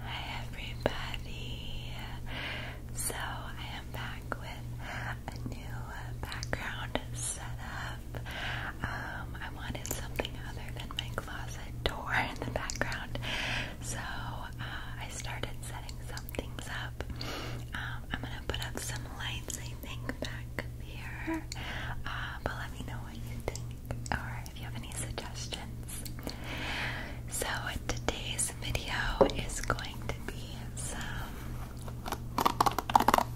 Hi everybody! So I am back with a new background setup. Um, I wanted something other than my closet door in the background, so uh, I started setting some things up. Um, I'm gonna put up some lights, I think, back here. Uh, but let me know what you think or if you have any suggestions. So, today's video is going to be some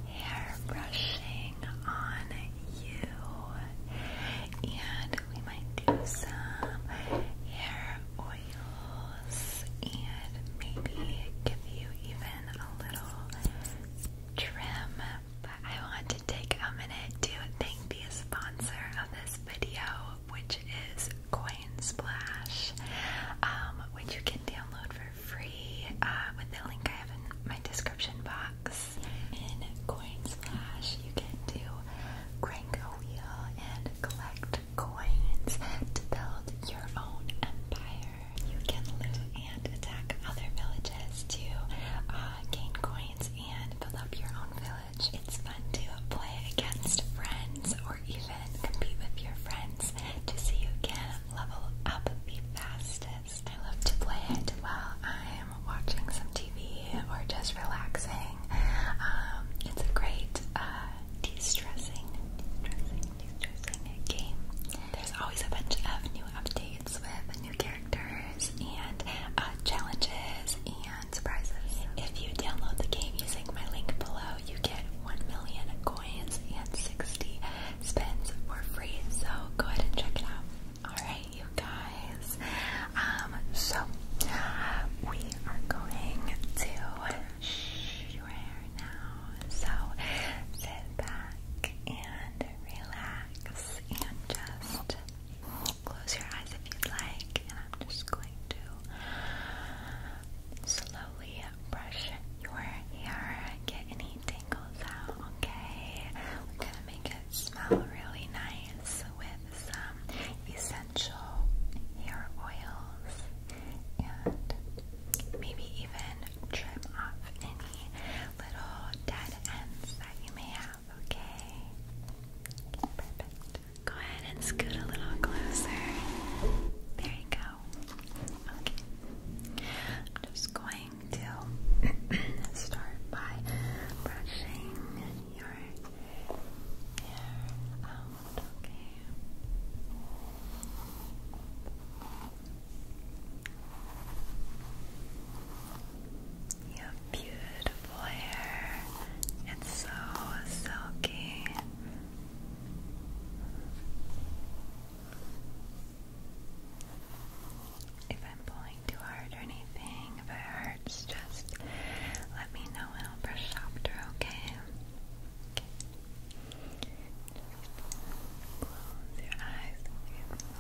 hair brushing on you, and we might do some hair oils and maybe give you even a little trim. But I want take a minute to thank the sponsor of this video, which is Coinsplash, um, which you can download for free uh, with the link I have in my description box. In Coinsplash, you can do crank and collect coins to build your own empire. You can loot and attack other villages to uh, gain coins and build up your own village. It's fun to play against friends or even compete with your friends to see who can level up the fastest. I love to play it while I'm watching some TV or just relaxing. Um, it's a great uh, de-stressing, de-stressing game. There's always a bunch of new updates with new characters and uh, challenges and surprises. If you download the game using my link below, you get 1 million coins and 60 spins for free. So go ahead and check it out. Alright, you guys. Um, so we are going to shh your hair now. So sit back and relax and just Close your eyes if you'd like, and I'm just going to slowly brush your hair, and get any tangles out, okay? We're gonna make it smell really nice with some essential hair oils and maybe even trim off any little dead ends that you may have okay? Go ahead and scoot a little closer. There you go. Okay. I'm just going to start by brushing your hair out, Okay. You have beautiful hair. It's so silky. If I'm pulling too hard or anything, if it hurts, just let me know and I'll brush softer, okay? Okay. Just close your eyes. Close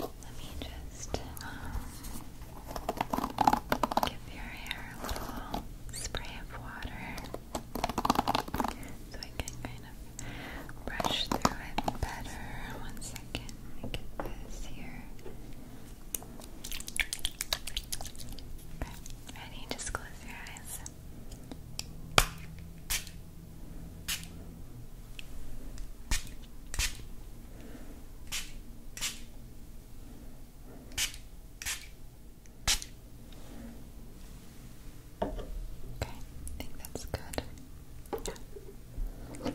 Let me just give your hair a little spray of water so I can kind of brush through it better. One second, get this here. ready? Just close your eyes. Okay, I think that's good. Yeah. Okay.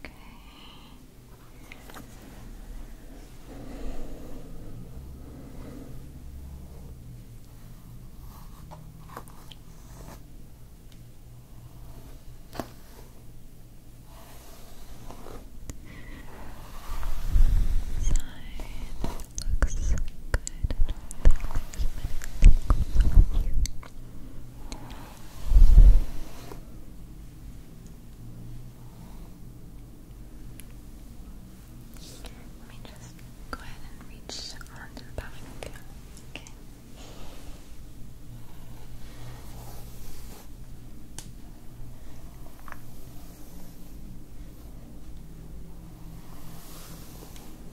Okay. looks so good. I don't think there's many things on you. Let me just go ahead and reach onto the back again. Okay.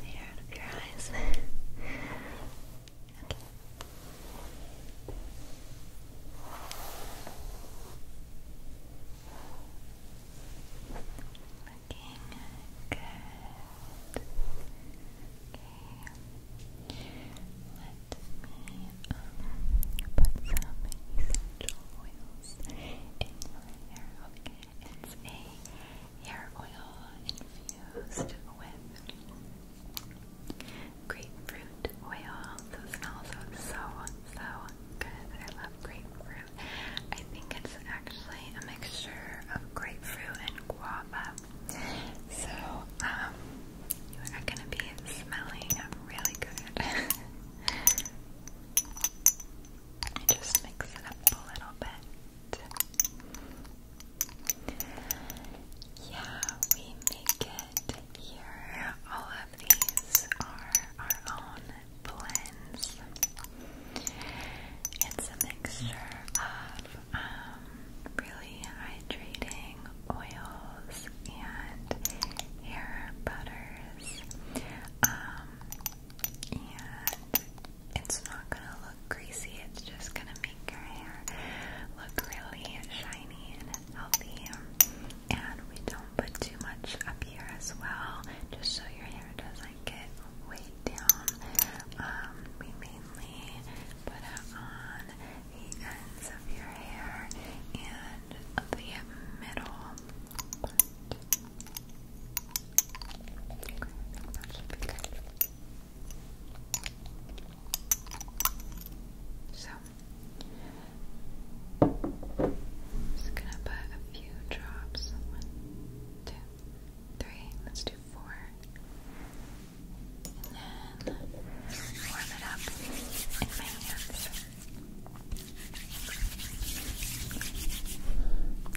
Stay out of your eyes. okay. Looking good. Okay. Let me um, put essential oils in a hair oil infused with grapefruit oil. Those smells so, so good. I love grapefruit. I think it's actually a mixture of grapefruit and guava. So, um, you are gonna be smelling really good. just mix it up a little bit. Yeah, we make it here. All of these are our own blends. It's a mixture of um, really hydrating oils and hair butters. Um, and it's not gonna look greasy, it's just gonna make your hair look really shiny and healthy. And we don't put too much up here as well, just so your hair doesn't get weighed down. Um, we mainly put on the ends of your hair and of the middle So, just gonna put a few drops. One, two, three. Let's do four. And then warm it up in my hands.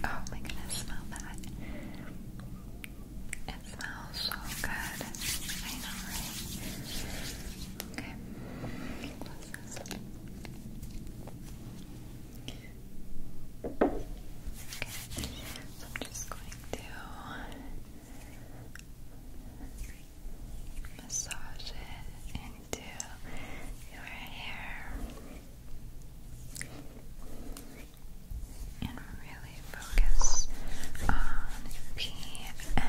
Oh my goodness, smell that. It smells so good. I know, right? Okay. Okay. So I'm just going to massage it into your hair and really focus on PMs.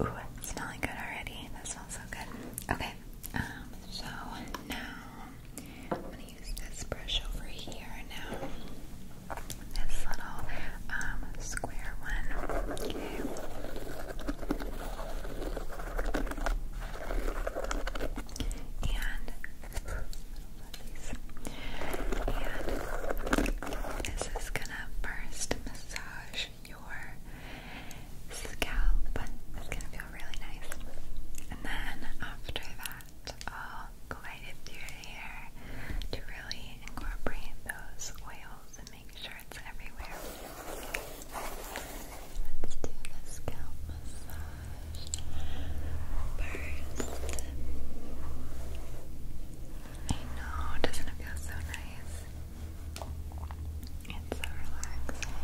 Ooh, smelling good already. That smells so good. Okay, um, so now I'm gonna use this brush over here now. This little um square one. Okay. And this is gonna burst. This massage your scalp and it's going to feel really nice. And then after that, I'll go right your hair to really incorporate those oils and make sure it's everywhere. Let's do the scalp massage first. I know, doesn't it feel so nice? It's so relaxing.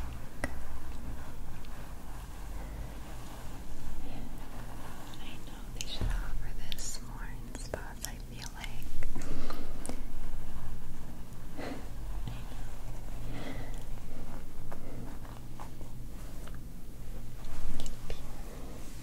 I know they should offer this more in spots, I feel like.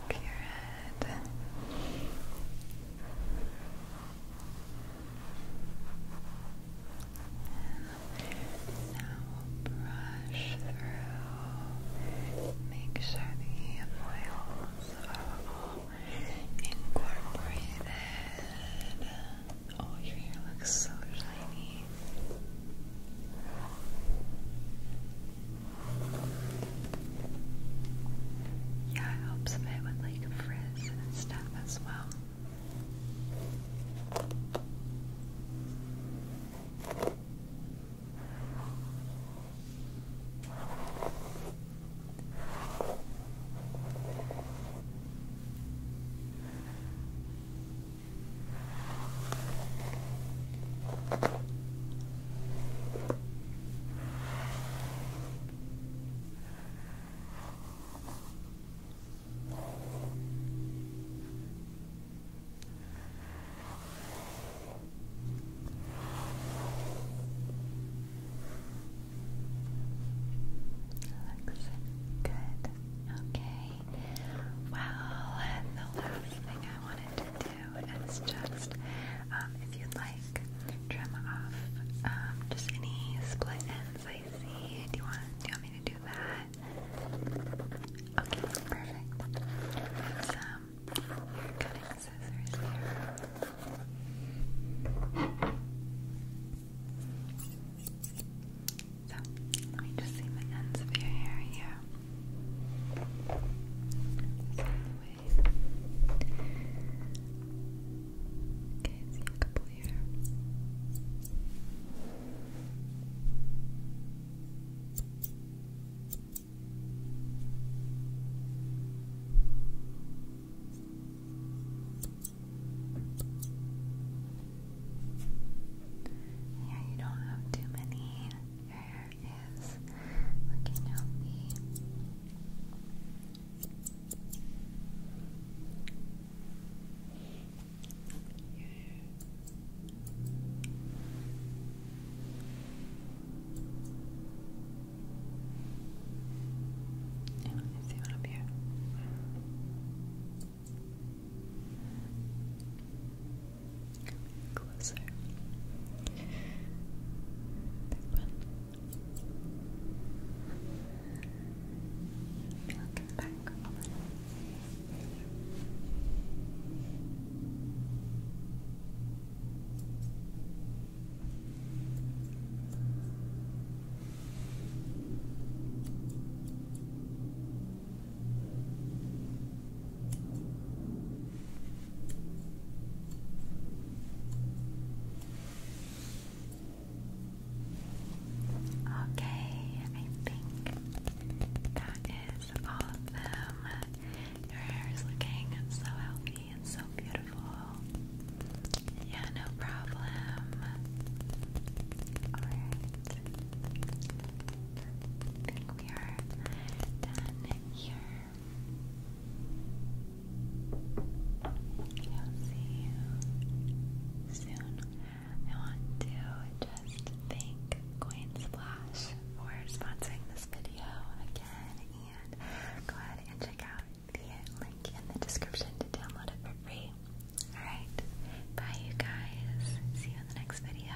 Look your And now we'll brush through. Make sure the oils are all incorporated. Oh, your hair looks so shiny. Yeah, helps a bit with like frizz and stuff as well. That looks good. Okay. Well, the last thing I wanted to do is just, um, if you'd like, trim off um, just any split ends I see. Do you want? Do you want me to do that? Okay, perfect. I have some hair cutting scissors here. So let me just see the ends of your hair here. Okay, see a couple here. Yeah, you don't have too many. Your hair is looking healthy. Yeah. Yeah, I see one up here. Closer. Big looking back Okay, I think that is all of them. Your hair is looking so healthy and so beautiful. Yeah, no problem. Alright. I think we are done here. I'll see you soon. I want to just thank Coin Splash for sponsoring this video again and go ahead and check out the link in the description to download it for free. Alright, bye you guys. See you in the next video.